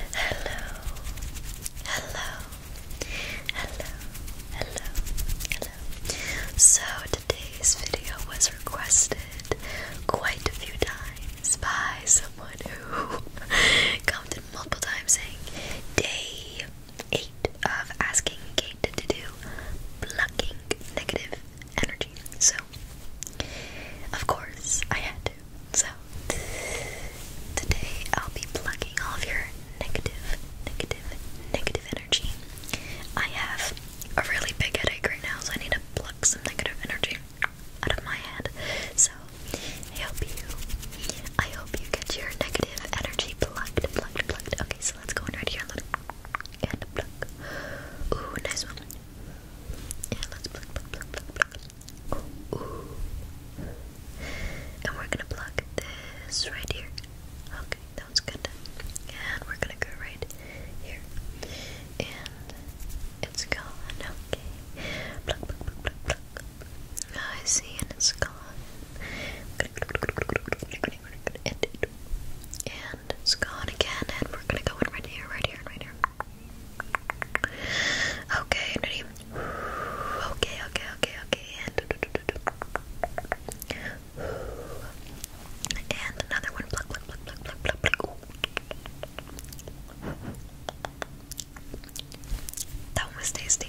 Hello, hello, hello, hello, hello. So today's video was requested quite a few times by someone who commented multiple times saying day eight of asking Kate to do blocking negative energy. So of course I had to. So today I'll be plucking all of your negative, negative, negative energy. I have a really big headache right now, so I need to pluck some negative energy out of my head. So I hope you, I hope you get your negative energy plucked, plucked, plucked. Okay, so let's go in right here and, and pluck. Ooh, nice one. And let's pluck, pluck, pluck, pluck, pluck. And we're gonna plug this right here. Okay, that was good. And we're gonna go right here. And it's gone. Okay. Plug, plug, plug, plug, plug. Ah, I see, and it's gone. And, and it's gone again. And we're gonna go in right here, right here, right here. Okay, ready? Okay, okay, okay, okay. And, and another one. Pluck, pluck, pluck, pluck, pluck, That one was tasty.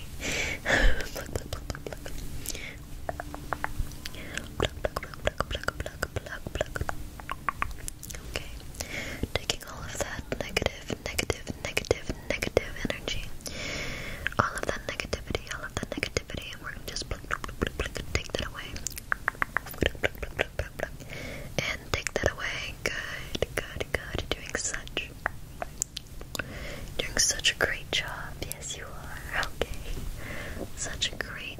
Okay, taking all of that negative negative, negative, negative energy. All of that negativity, all of that negativity, and we're gonna just take that away. And take that away. Good, good, good. You're doing such doing such a great job. Yes you are. Okay. Such a great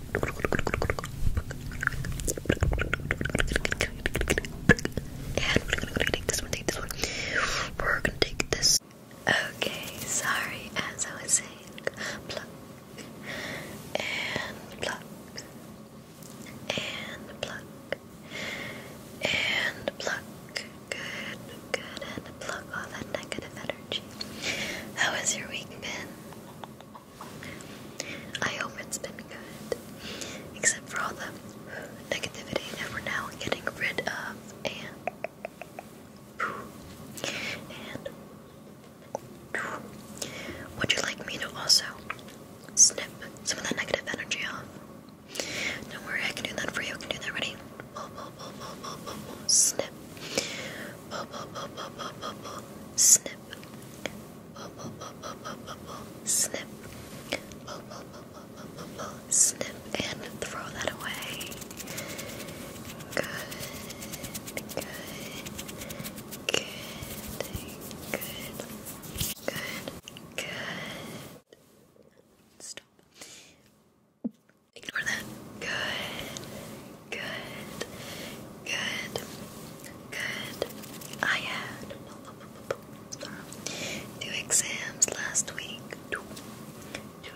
And we this one, take this one. We're gonna take this. Okay, sorry, as I was saying, pluck and pluck and pluck and pluck. Good, good, and pluck all that negative energy. How has your week been? I hope it's been good, except for all the negativity that we're now getting rid of, and would you like me to also snip some of that negative energy off? Don't worry, I can do that for you. I can do that. Ready? Snip. Snip snip, snip, and throw that away. Good, good, good, good, good, good. Stop. Ignore that. Good. Good. Good. Good. I had two exams last week. Two. Two,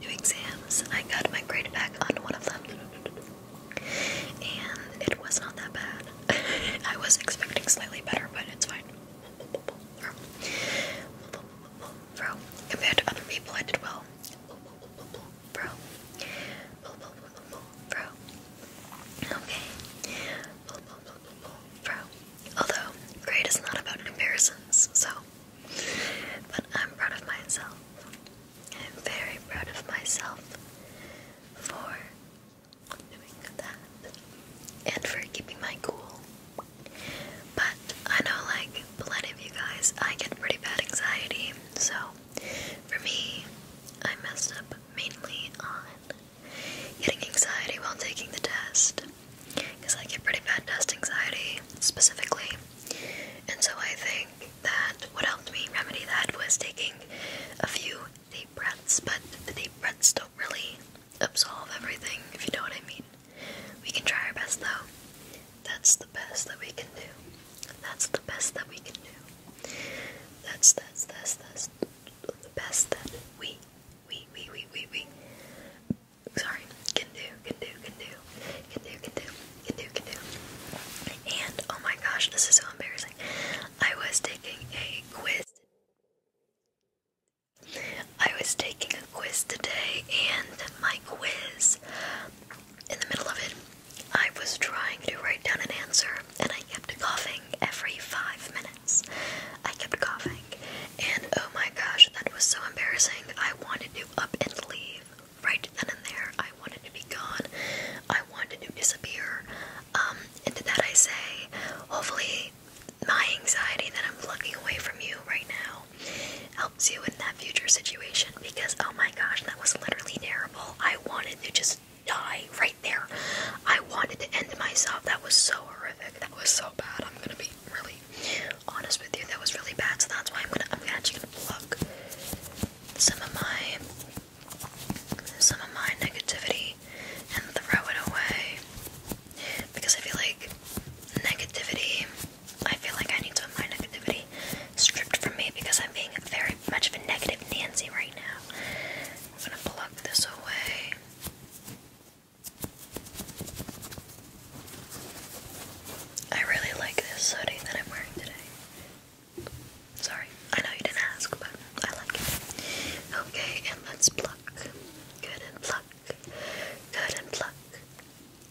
two, exams. I got my grade back on one of them. And it was not that bad. I was expecting slightly better, but it's fine. compared to other people, I did well fro. Okay. Blah, Although, grade is not about comparisons, so. But I'm proud of myself. I'm very proud of myself for doing that and for keeping my cool. But I know, like, plenty of you guys, I get pretty bad anxiety, so for me, I messed up mainly on getting anxiety while taking the test. Because I get pretty bad test anxiety, specifically. And so I think that what helped me remedy that was taking a few deep breaths, but the deep breaths don't really absolve everything, if you know what I mean. We can try our best though. That's the best that we can do. That's the best that we can do. That's that's that's that's the best that we we we we we we sorry can do can do can do can do can do can do can do. And oh my gosh, this is so embarrassing. I was taking a quiz. I was taking a quiz today, and my quiz in the middle of it, I was trying to write down an answer and I kept coughing every five minutes. I kept coughing, and oh my gosh, that was so embarrassing. I wanted to up and leave right then and there. I wanted to be gone, I wanted to disappear. Um, and to that, I say, hopefully, my anxiety that I'm plugging away from you right now helps you in that future situation because oh my gosh, that was literally terrible. I wanted to just die right there. I wanted to end myself. That was so horrific. That was so bad. I'm gonna be really honest with you. That was really bad. So that's why I'm gonna. I'm actually gonna plug some of my some of my negativity and throw it away because I feel like negativity. I feel like I need to of my negativity be stripped from me because I'm being very much of a negative Nancy right now. I'm gonna pluck this away. I really like this hoodie that I'm wearing today. Sorry, I know you didn't ask, but I like it. Okay, and let's pluck. Good and pluck. Good and pluck.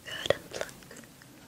Good and pluck.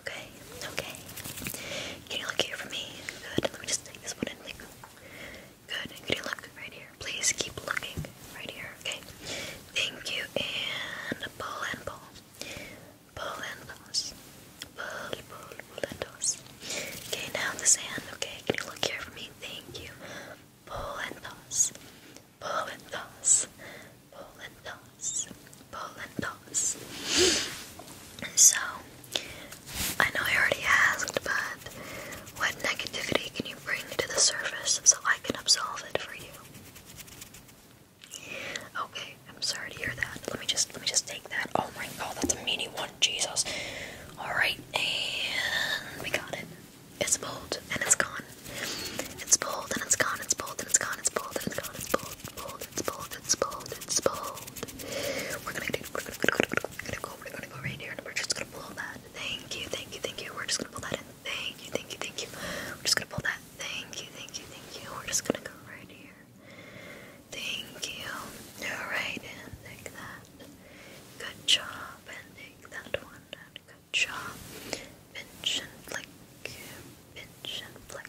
Okay, okay. Can you look here for me? Good. Let me just take this one in. Like, good. Can you look right here? Please keep looking right here. Okay. Thank you. And pull and pull, pull and toss, pull, pull, pull and toss. Okay, now the sand. Okay, can you look here for me? Thank you. Pull and toss, pull and toss, bowl and toss, bowl and toss. So, I know I already asked, but what negativity can you bring to the surface so I can absolve it for you? Okay, I'm sorry to hear that. Let me just let me just take that. Oh my god, that's a meaty one, Jesus. Alright, and we got it. It's bold and it's gone. It's bold and it's gone, it's bold and it's gone, it's bold and it's gone, it's bold bold, bold, it's bold, it's bold, it's bold. We're gonna do, we're gonna, we're gonna, we're gonna go, we're gonna go right here and we're just gonna pull that. Thank you, thank you, thank you. We're just gonna pull that in. Thank you, thank you, thank you. We're just gonna pull that. Thank you, thank you, thank you. We're just gonna go right here. Thank you. All right, and take that. Good job, and take that one. And good job. Pinch and flick, pinch and flick,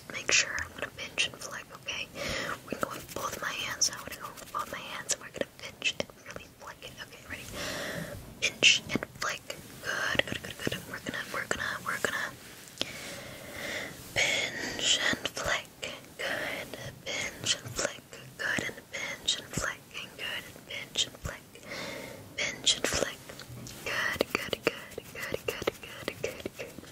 just make sure I'm gonna pinch and flick, okay? We're gonna go with both my hands. I'm gonna go with both my hands and we're gonna pinch and really flick it. Okay, ready? Pinch and flick. Good, good, good, good. We're gonna we're gonna we're gonna pinch and flick. Good. Pinch and flick. Good and pinch and flick. And good and pinch and flick. Pinch and flick. Good, good, good, good, good, good, good, good.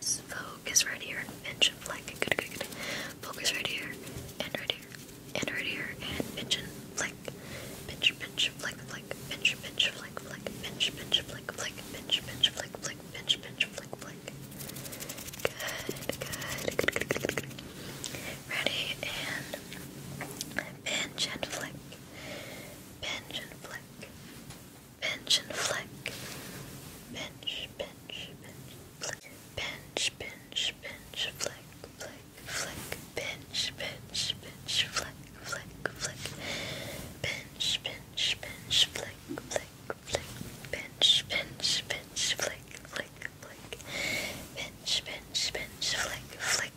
focus, right here, and flick, good, good, good, focus right here, and right here, and right here, and pinch flick, pinch, pinch, flick, flick, pinch, pinch, flick, flick, pinch, pinch, flick, flick, pinch, pinch, flick, flick, good, good, good, good, good, ready, and pinch and flick, pinch and flick, pinch and flick, pinch, pinch, pinch, flick, pinch, pinch, pinch, flick, flick, flick, pinch, pinch, pinch, flick, flick, flick, pinch, pinch, pinch, flick, flick, flick, pinch, pinch, pinch, flick, flick, flick, pinch, pinch, pinch, flick, flick, flick,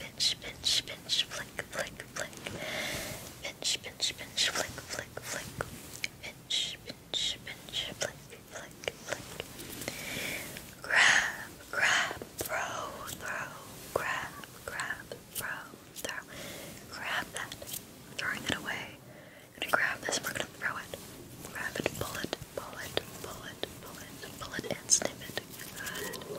pinch, pinch, pinch, flick, flick, flick, pinch, pinch, pinch, flick, flick, flick, pinch, pinch, pinch, flick, flick, flick. Grab, grab, throw, throw, grab, grab, throw, throw. Grab that, I'm throwing it away. gonna grab this, we're gonna throw it. Grab it, pull it, pull it, pull it, pull it, pull it, and snip it. Good.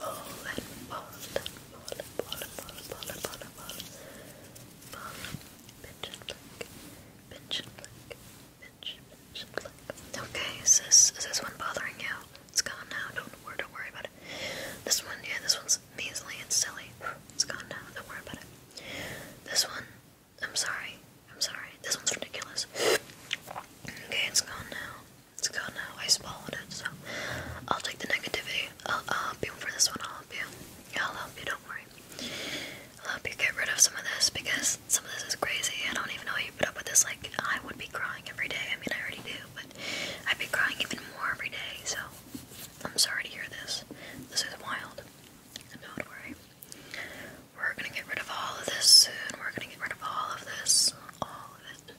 okay, is this, is this one bothering you? it's gone now, don't, don't worry about it this one, yeah, this one's measly and silly it's gone now, don't worry about it this one, I'm sorry, I'm sorry, this one's ridiculous okay, it's gone now it's gone now. I swallowed it, so I'll take the negativity. I'll, help you for this one. I'll help you. I'll help you. Don't worry. I'll help you get rid of some of this because some of this is crazy. I don't even know how you put up with this. Like I would be crying every day. I mean, I already do, but I'd be crying even more every day. So I'm sorry to hear this. This is wild. Don't worry. We're gonna get rid of all of this soon. We're gonna get rid of all of this. All of it.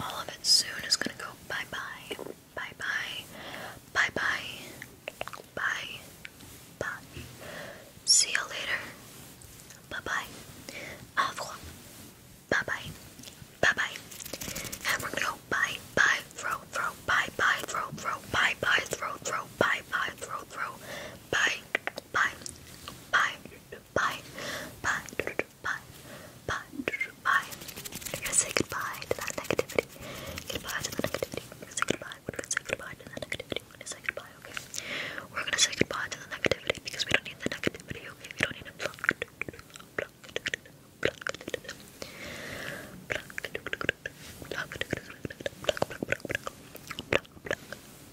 All of it soon is gonna go bye bye, bye bye, bye bye, bye bye. See you later. Bye bye. Bye bye. Bye bye. we're gonna go bye bye, throw, throw, bye bye, throw, throw, bye bye, throw, throw, bye bye, throw, throw, bye bye, bye bye, bye goodbye, bye, goodbye. We're gonna say goodbye to that negativity. Goodbye to the negativity. say goodbye. We're gonna say goodbye to the negativity. We're gonna say goodbye, okay? We're gonna say goodbye to the negativity because we don't need the negativity, We don't need it.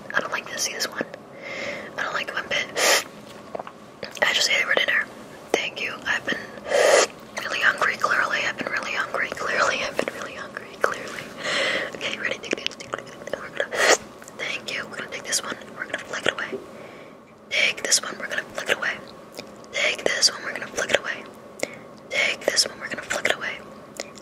like it. I don't like to see this one. I don't like it one bit. I just ate it for dinner. Thank you. I've been really hungry, clearly. I've been really hungry, clearly. I've been really hungry, clearly. Okay, ready? Take this. Take this. We're gonna, thank you. We're gonna take this one. We're gonna flick it away. Take this one. We're gonna flick it away. Take this one. We're gonna flick it away. Take this one. We're gonna flick it away.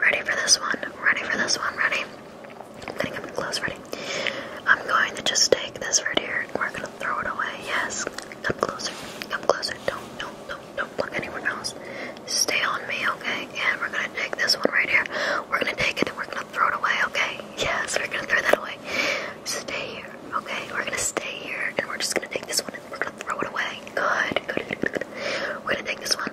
Ready for this one? Ready for this one? Ready? I'm gonna come close. Ready? I'm going to just take this right here and we're gonna throw it away. Yes. Come closer. Come closer. Don't, don't, don't, don't look anywhere else. Stay on me, okay? And we're gonna take this one right here. We're gonna take it and we're gonna throw it away, okay? Yes, we're gonna throw that away. Stay here, okay? We're gonna stay here and we're just gonna take this one and we're gonna throw it away. Good, good, good, good. We're gonna take this one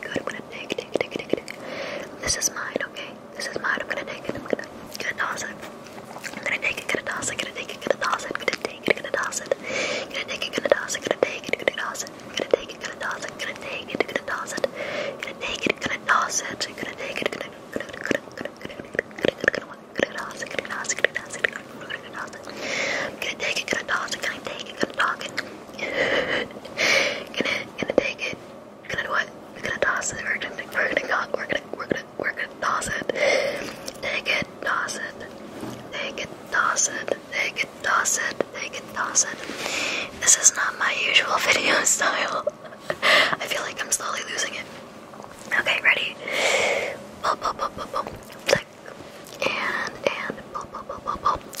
Good, I'm gonna take, take, take, take, take. This is mine, okay? This is mine. I'm gonna take it. I'm gonna gonna toss it. I'm gonna take it, gonna toss it, gonna take it, gonna toss it, gonna take it, gonna toss it. Gonna take it, gonna toss it, gonna take it, gonna toss it. Gonna take it, gonna toss it, gonna take it, gonna toss it. Gonna take it, gonna toss it, gonna take it, gonna gonna gonna gonna gonna toss it, gonna toss it, gonna toss it, gonna toss it. Gonna take it, gonna toss it, gonna take it, gonna talk it. Gonna gonna take it. We're gonna do what? We're gonna toss it. We're gonna we're gonna go, we're gonna we're gonna we're gonna toss it. Take it, toss it. Take it, toss it. Take it, toss it. Take it, toss it. This is not my usual video style. I feel like I'm slowly losing it. Okay, ready? Boom, boom, boom, boom, boom. Click and and boom, boom, boom, boom, boom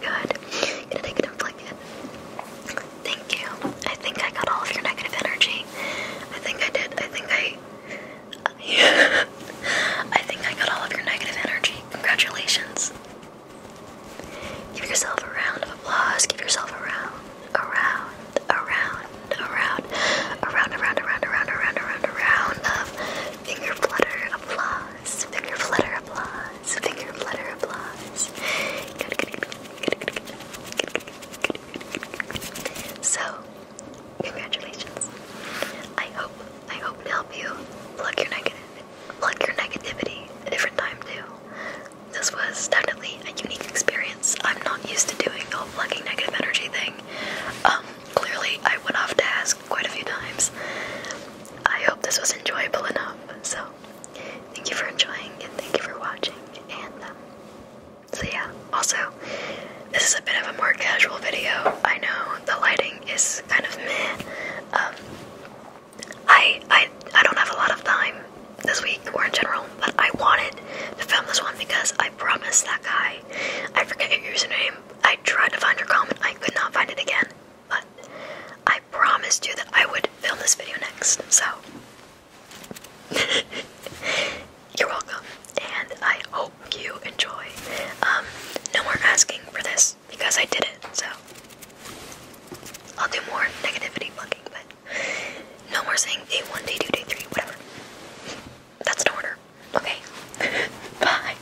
good. Gonna take it and flick it. Thank you. I think I got all of your negative energy. I think I did. I think I. Yeah. I think I got all of your negative energy. Congratulations. Give yourself a round of applause. Give yourself a round, around, around, around, around, around, around, around, around, around, around of finger flutter applause. Finger flutter applause. Finger flutter applause. So, congratulations. I hope, I hope to help you plug your negative, plug your negativity a different time too. This was definitely a unique experience. I'm not used to doing the whole plugging negative energy thing. Um, clearly I went off task quite a few times. I hope this was enjoyable enough. So, thank you for enjoying and thank you for watching. And um, so, yeah, also, this is a bit of a more casual video. I know the lighting is kind of meh. Um, I, I, I don't have a lot of time this week or in general, but I wanted to film this one because I promised that guy. I forget your username. I tried to find your comment, I could not find it again. But I promised you that I would film this video next, so you're welcome. And I hope you enjoy. Um, no more asking for this because I did it, so I'll do more negativity plugging, but no more saying day one, day two, day three, whatever. That's an order. Okay. Bye.